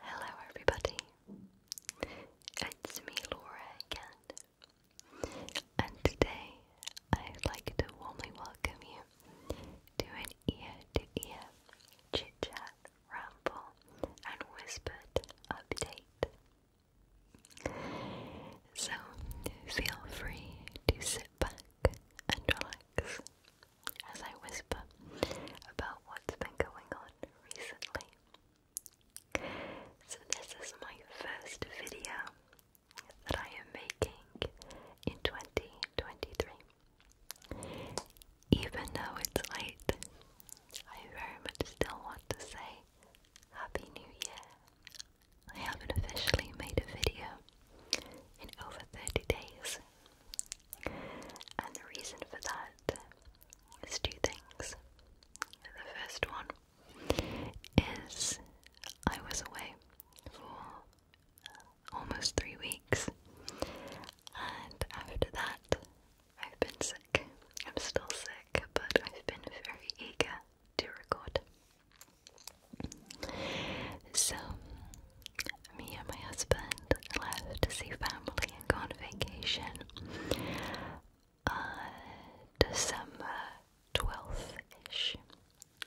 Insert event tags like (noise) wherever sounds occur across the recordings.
Hello, everybody. It's me, Laura, again. And today I'd like to warmly welcome you to an ear to ear chit chat, ramble, and whispered update. So feel free to sit back and relax as I whisper about what's been going on recently. So, this is my first video that I am making in 2023. Even though it's late, I very much still want to say Happy New Year. I haven't officially made a video in over 30 days, and the reason for that is two things. The first one is I was away for almost three weeks, and after that, I've been sick. I'm still sick, but I've been very eager to record. So, me and my husband left to see family and go on vacation uh, December 12th ish,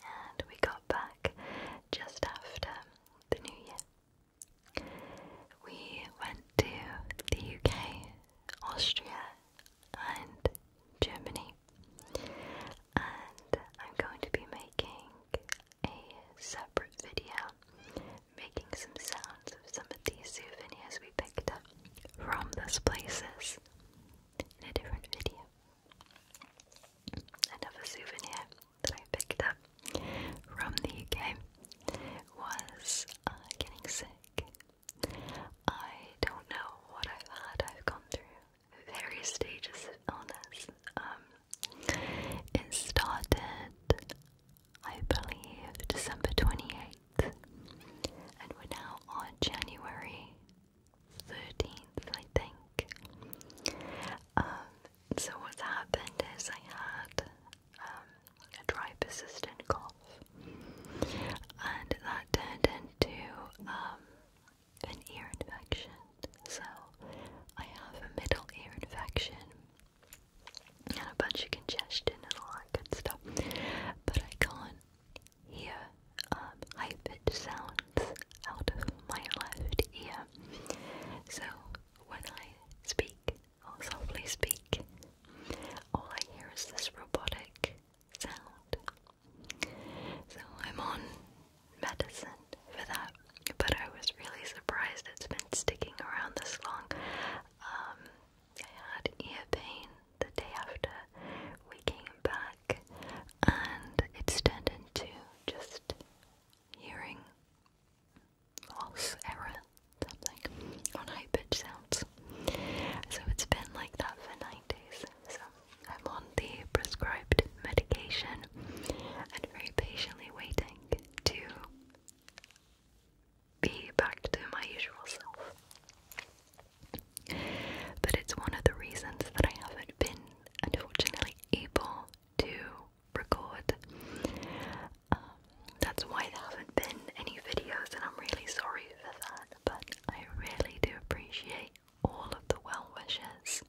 and we got back just after the new year. We went to the UK, Austria, and Germany, and I'm going to be making a separate video making some sounds of some of these souvenirs we picked up from those places in a different video. Another souvenir that I picked up from the UK was uh, getting sick. I don't know what I've had, I've gone through various stages of illness. Um, it started, I believe, December 28th, and we're now on January 13th, I think. Um, so, what's happened is I had um, a dry, persistent cough, and that turned into um, an ear infection. So I have a middle ear infection and a bunch of congestion and all that good stuff. But I can't hear um, high pitched sounds out of my left ear. So when I speak or softly speak, all I hear is this robotic sound. So I'm on medicine for that, but I was really surprised it's been sticking around this long. Um, I had ear pain the day after we came back, and it's turned into just hearing loss, error, something on high pitch sounds. So it's been like that for nine days. So I'm on the prescribed medication and very patiently waiting to be back to my usual self. But it's one of the reasons that I haven't been, unfortunately, able to record. Um, that's why there haven't been any videos, and I'm really sorry for that. But I really do appreciate all of the well wishes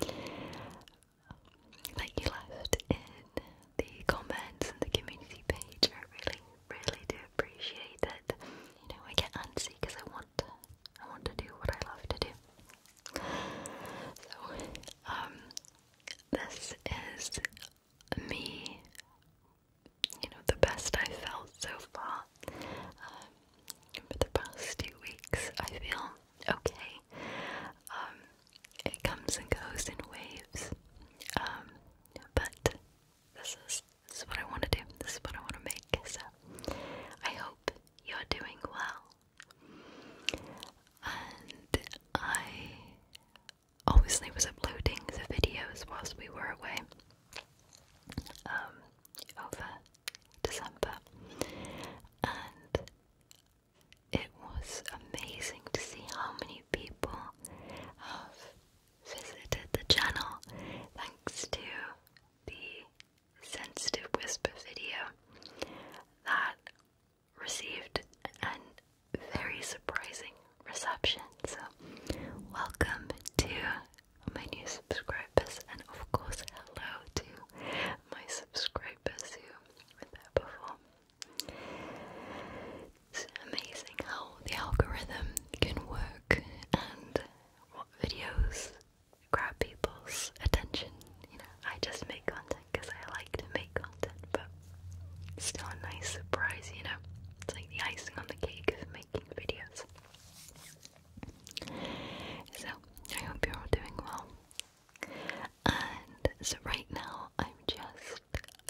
that you left in the comments and the community page. I really, really do appreciate it. You know, I get antsy because I want I want to do what I love to do. So, um, this is me. You know, the best i felt so far. Um, for the past two weeks. I feel okay. Um, it comes and goes in waves. Um, but this is this is what I want to do. This is what I want to make. So I hope you're doing well. And I obviously was uploading the videos whilst we were away. Um, over December, and it was amazing to see how many people have visited the channel thanks to the sensitive whisper video that received a very surprising reception. So, welcome to my new subscribers, and of course, hello to my subscribers who were before. It's amazing how the algorithm can work and what videos grab people's attention. You know, I just make content because I like to make content, but still a nice surprise, you know? It's like the icing on the cake of making videos. So, I hope you're all doing well. And so, right now, I'm just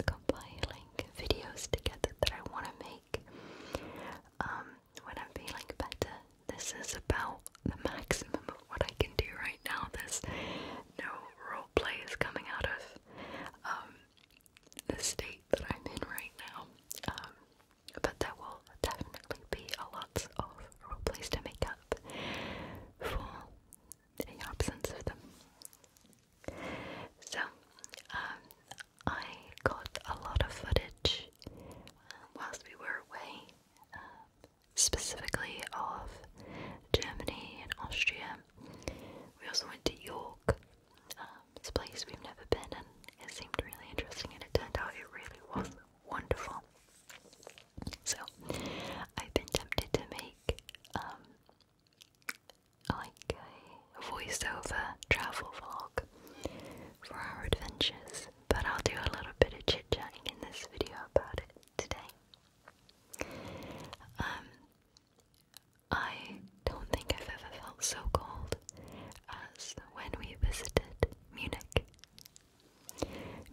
compiling videos together that I want to make um, when I'm feeling better. This is about the maximum of what I can do right now. This no role play is coming out of um, the state that I'm in right now. Um, but there will definitely be a lot of roleplays to make up for the absence of them. So, um, I got a lot of footage um, whilst we were away, um, specifically of Germany and Austria. We also went to York, it's a place we've never been in. It seemed really interesting, and it turned out it really was wonderful. So, I've been tempted to make um, like a voiceover travel vlog for our adventures, but I'll do a little bit of chit chatting in this video about it today. Um, I don't think I've ever felt so cold us when we visited Munich.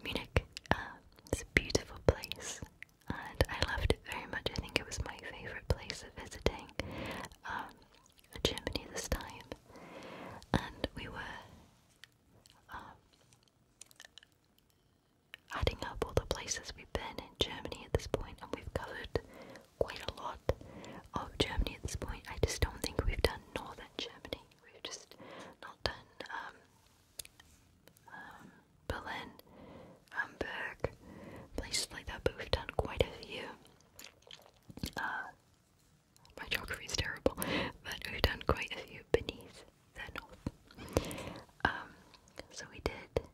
Munich uh, is a beautiful place and I loved it very much. I think it was my favourite place of visiting um, Germany this time. And we were um, adding up all the places we've been in Germany at this point, and we've covered quite a lot of Germany at this point. I just don't think we've done northern Germany. We've just not done um, um, Berlin, Hamburg, places like that, but we've done quite a few. Uh, my geography is terrible, but we've done quite a few beneath the north. Um, so we did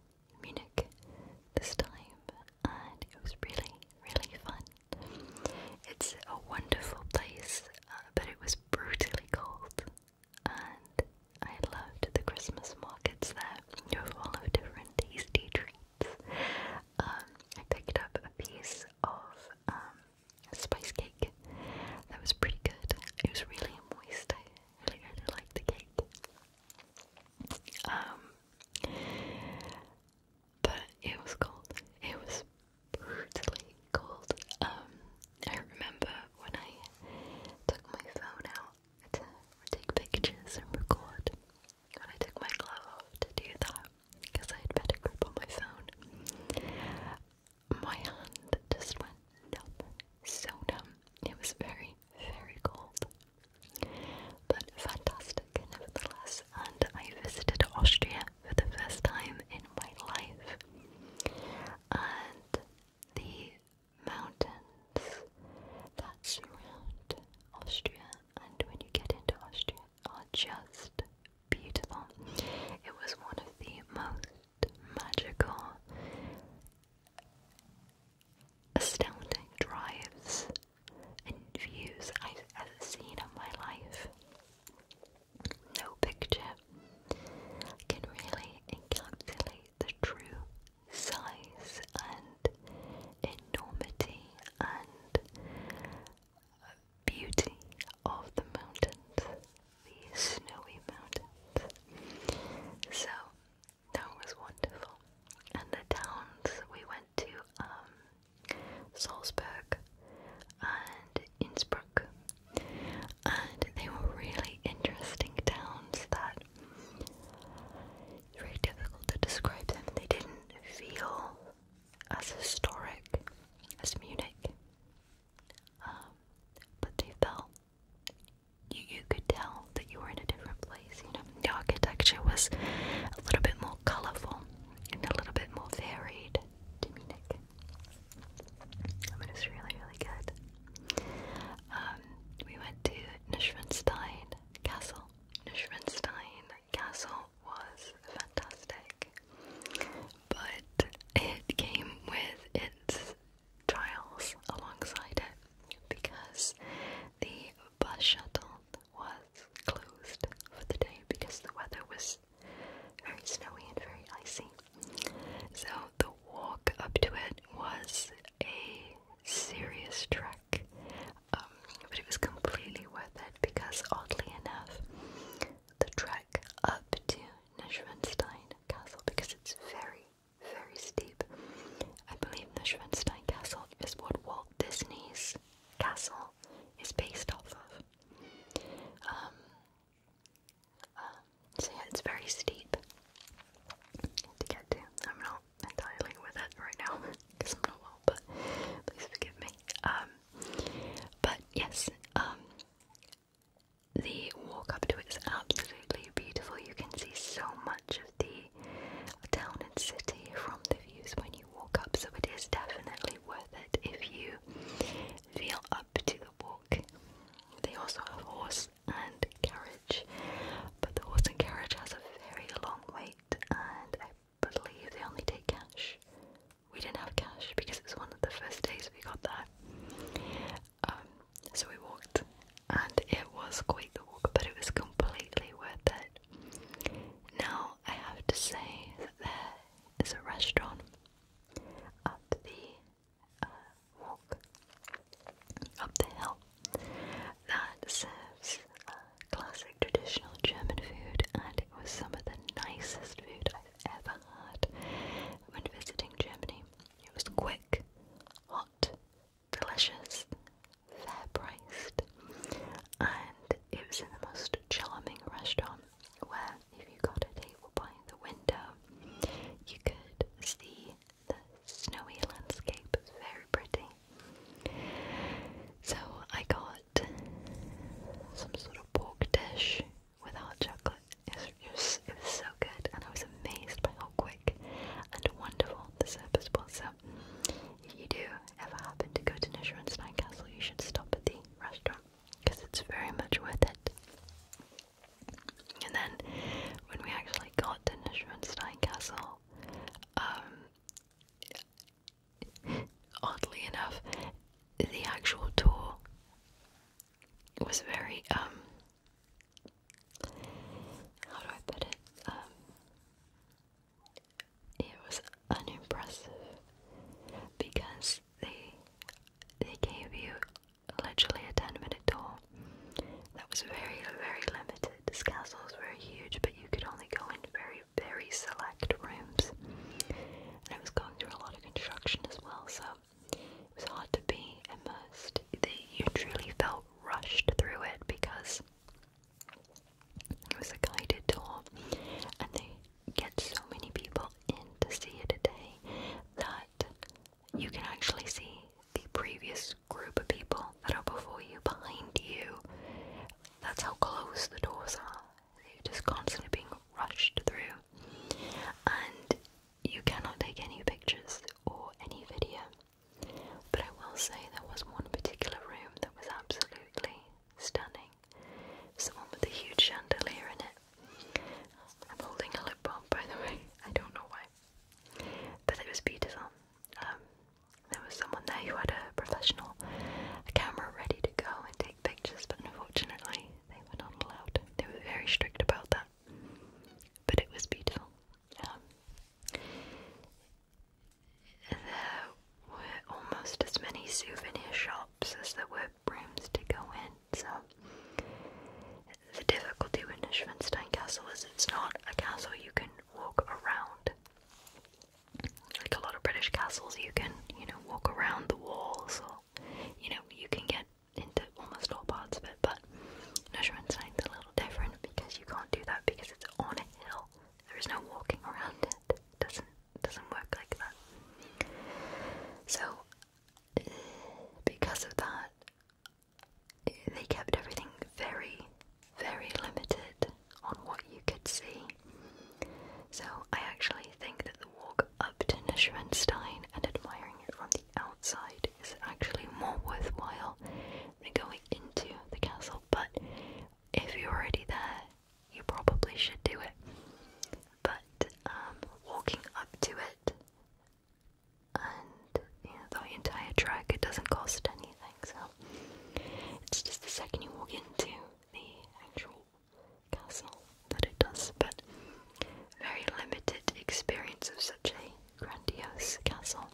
Munich this time, and it was really, really fun. It's a wonderful place, uh, but it was brutally cold, and I loved the Christmas markets there were full of different tasty treats. Um, I picked up a piece of um, spice cake that was pretty good. It was really moist. I really, really liked the cake. Um, but it was cold. It was brutally cold. Um, I remember when I took my phone out to take pictures and record, and I took my glove off to do that because I had better grip on my phone. My hand just went numb, so numb. It was very, very cold. But fantastic nevertheless, and I visited Austria for the first time in my life. And the mountains that surround Austria, and when you get into Austria, are just beautiful. It was one of the most magical, astounding drives and views I have seen of my life. No picture can really encapsulate the true size and enormity and beauty of the mountains, the snowy mountains. So that was wonderful. And the towns we went to um, Salzburg and Innsbruck, and they were really interesting towns that it's very difficult to describe them. They didn't feel as historic as Munich, um, but they felt you, you could tell that you were in a different place. You know, the architecture was a little bit more colourful and a little bit more varied to me, Nick. I really, really good. Um, we went to Neuschwanstein Castle. Neuschwanstein Castle was fantastic, but it came with its trials alongside it because the bus shuttle was closed for the day because the weather was very snowy and very icy. So the walk up to it was a serious trek, um, but it was completely worth it because, oddly enough, the trek up to Neuschwanstein Castle, because it's very very steep. I believe the Schwenstein Castle is what Walt Disney's castle is based off of. Um, um, so yeah, it's very steep to get to. I'm not entirely with it right now because (laughs) I'm not well, but please forgive me. Um, but yes, the walk up to it is absolutely beautiful. You can see so much of the town and city from the views when you walk up, so it is definitely worth it if you feel up to the walk. They also have horse and carriage, but the horse and carriage has a very long wait, and I believe they only take cash. We didn't have cash because it was one of the first days we got there. Um, so we walked and it was quite the walk, but it was completely worth it. Now, I have to say that there is a restaurant up the uh, walk, up the hill, that serves uh, classic traditional German food, and it was some of the nicest food I've ever had when visiting Germany. It was quick, hot, delicious, fair priced, and it was in the most charming restaurant where if you got a table by the window, you could see the snowy landscape. very pretty. So I got some sort of pork dish without chocolate. it was so good, and I was amazed by how quick and wonderful the surface was. So, if you do ever happen to go to Nishra Castle, you should stop at the restaurant because it's very much worth it. And then, when we actually got to Nishra Castle, um, oddly enough, the actual tour was very um, how do I put it? Um, it was unimpressive because they they gave you literally a ten minute tour that was very very limited. This castle was very huge, but you could only go in very very select rooms, and it was going through a lot of construction as well, so it was hard to be immersed. That You truly felt rushed through it because it was a guided tour and they get so many people in to see it a day that you can actually see the previous group of people that are before you, behind you. That's how close the doors are. you are just constantly being rushed through. And you cannot take any pictures or any video. But I will say there was one particular room that was absolutely stunning. It's with the huge chandelier in it. I'm holding a lip balm, by the way. I don't know why. But it was beautiful. Um, there was someone there who had a professional camera ready to go and take pictures, but unfortunately, they were not allowed. They were very strict about that. But it was beautiful. Um, there were almost as many souvenir shops as there were rooms to go in, so the difficulty with the Neuschwanstein Castle is it's not a castle you can walk around. Like a lot of British castles, you can, you know, walk around the walls or, you know, you can get into almost all parts of it, but is a little different because you can't do that because it's on a hill. There is no walking around it. doesn't doesn't work like that. So because of that, they kept everything very, very limited on what you could see. So I actually think that the walk up to Neuschwanstein and admiring it from the outside is actually more worthwhile than going into the castle, but if you're already there, you probably should do it. But um, walking up to it and the entire track, it doesn't cost anything, so it's just the second you walk into the actual castle that it does, but very limited experience of such a grandiose castle.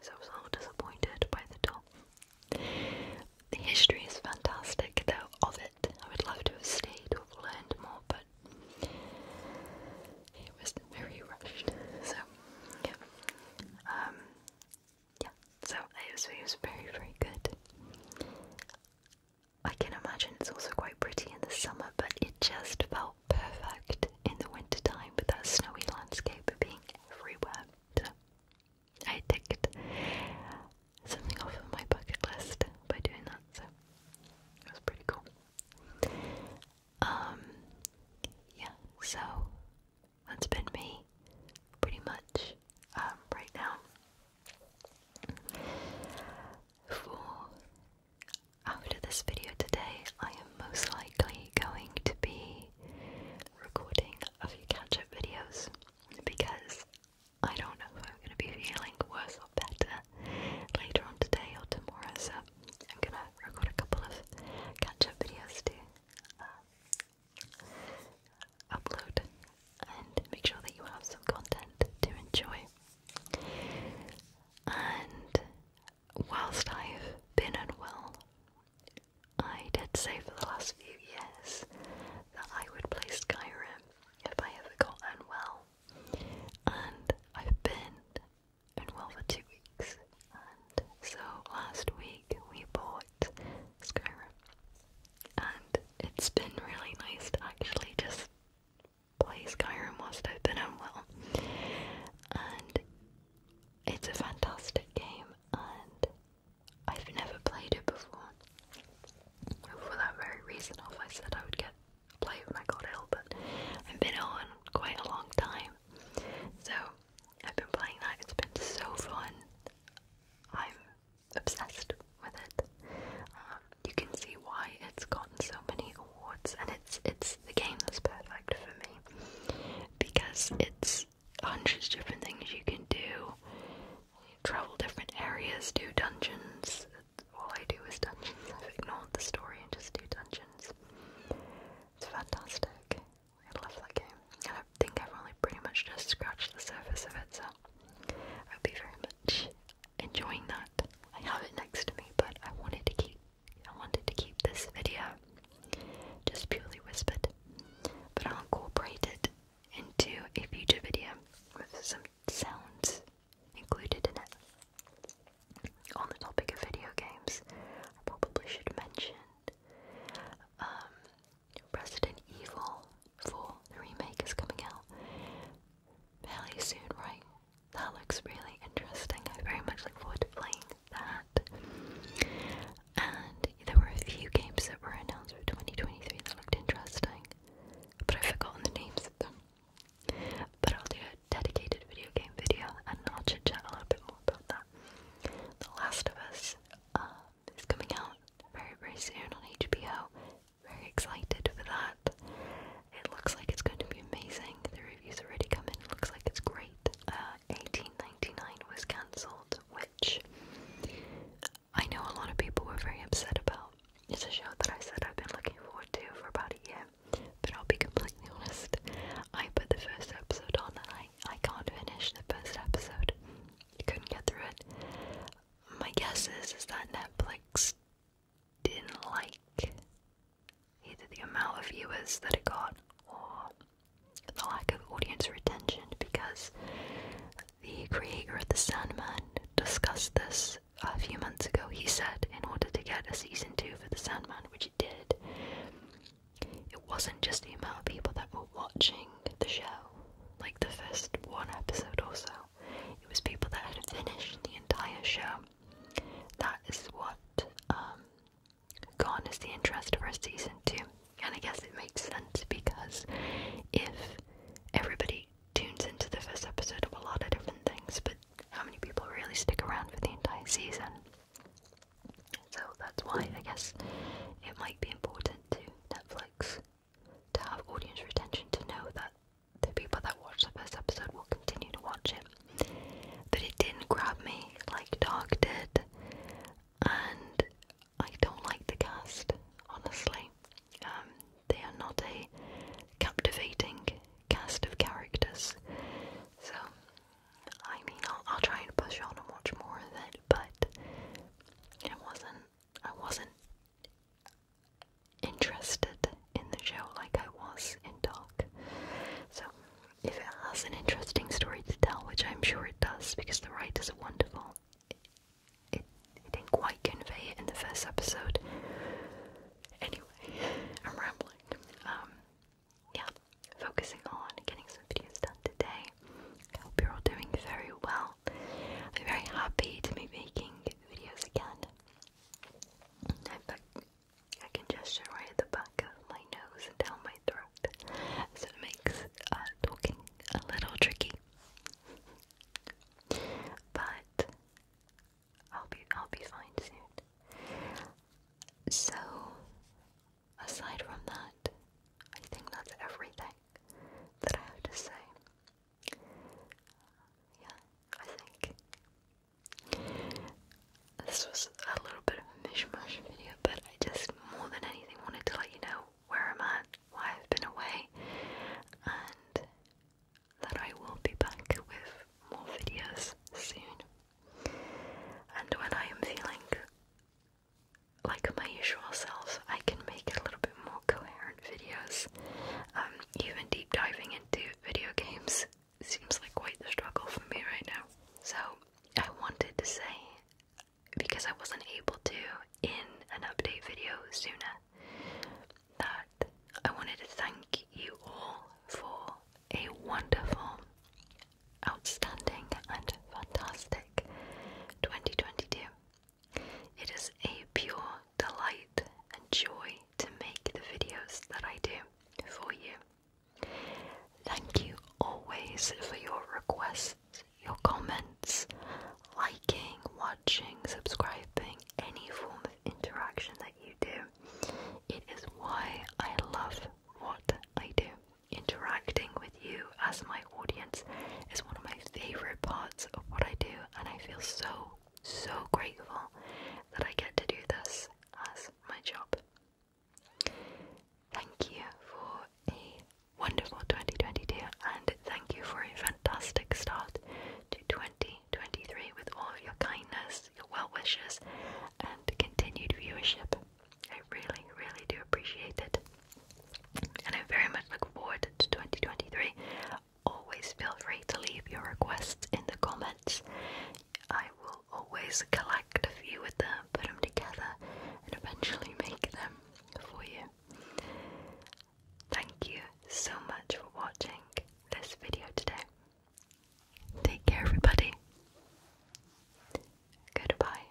So I was all disappointed by the top. The history is fantastic, though, of it. I would love to have stayed or learned more, but it was very rushed. So, yeah. Um, so it was very, very good. I can imagine it's also quite pretty in the summer, but it just felt perfect in the wintertime with that snowy landscape being everywhere. I ticked something off of my bucket list by doing that, so it was pretty cool. Um, yeah, so that's been me pretty much um, right now for after this video today, I am most likely going to be recording a few catch up videos because I don't know if I'm going to be feeling worse or better later on today or tomorrow, so I'm going to record a couple of catch up videos to uh, upload and make sure that you have some content to enjoy. And whilst I've been unwell, I did say for the last few years that I would play Skyrim if I ever got unwell. And I've been unwell for two weeks. And so last week we bought Skyrim. And it's been really nice to actually just play Skyrim whilst I've been unwell. Oh and it's a fantastic game, and I've never played it before. For that very reason, off I said I would get play when I got ill, but I've been on quite a long time. So I've been playing that, it's been so fun. I'm obsessed with it. Um, you can see why it's gotten so many awards, and it's it's the game that's perfect for me because it's hundreds different things you can do. travel different areas, do dungeons. All I do is dungeons. I've ignored the story and just do dungeons. It's fantastic. I love that game. And I think I've only pretty much just scratched the surface of it, so I hope you very much enjoying that. I have it next to me, but I wanted to keep I wanted to keep this video just purely whispered. But I'll incorporate it into a future video with some sounds included in it. On the topic of video games, I probably should mention President um, Evil 4, the remake is coming out fairly soon, right? That looks really interesting. I very much look forward to playing that. And there were a few games that were announced for 2023 that looked interesting, but I've forgotten the names of them. But I'll do a dedicated video game video and I'll chit chat a little bit more about that. The Last of Us um, is coming out very, very soon on HBO very excited for that. It looks like it's going to be amazing. The reviews already come in. It looks like it's great. 18.99 uh, was cancelled, which I know a lot of people were very upset about. It's a show that I said I've been looking forward to for about a year. But I'll be completely honest. I put the first episode on and I I can't finish the first episode. Couldn't get through it my guess is is that Netflix didn't like either the amount of viewers that it got or the lack of audience retention because the creator of The Sandman discussed this a few months ago. He said in order to get a season two for The Sandman, which it did, it wasn't just the amount of people that were watching the show, like the first one episode or so, it was people that had finished the entire show. That is what um, garners the interest of for season too, and I guess it makes sense because if everybody tunes into the first episode of a lot of different things, but how many people really stick around for the entire season? So that's why I guess it might be important to Netflix to have audience retention to know that the people that watch the first episode will continue to watch it. But it didn't grab me like Dark did, and I don't like the cast, honestly. Um, they are not a captivating cast of characters. So, I mean, I'll, I'll try and push on and watch more of it, but it wasn't, I wasn't interested in the show like I was in Dark. So, if it has an interesting story to tell, which I'm sure it does because the writers are wonderful, it, it didn't quite convey it in the first episode. Anyway, I'm rambling. Um, yeah, focusing on getting some videos done today. I hope you're all doing very well. I'm very happy to be making videos again. I, I can gesture right at the back of my nose down my throat, so it makes uh, talking a little tricky. but I'll be I'll be fine soon. So, aside from that, I think that's everything that I have to say yeah, I think this was a little bit of a mishmash video, but I just more than anything wanted to let you know where I'm at, why I've been away, and that I will be back with more videos soon. And when I am feeling like my usual self, I can make it a little bit more coherent videos. Um, even deep diving into video games seems like quite the struggle for me right now. So, I wanted to say, because I wasn't able to in an update video sooner, that I wanted to thank you all for a wonderful, outstanding, and fantastic 2022. It is a pure delight and joy to make the videos that I do for you. Thank you always for your requests, your comments, liking, watching, subscribing, any form of interaction that you do. It is why I love what I do. Interacting with you as my audience is one of my favorite parts of what I do, and I feel so, so grateful that I get to do this as my job. Thank you for a wonderful 2022, and thank you for a fantastic start to 2023 with all of your kindness, your well wishes, and continued viewership. I really, really do appreciate it and I very much look forward to 2023. Always feel free to leave your requests in the comments. I will always collect a few of them, put them together, and eventually make them for you. Thank you so much for watching this video today. Take care, everybody. Goodbye.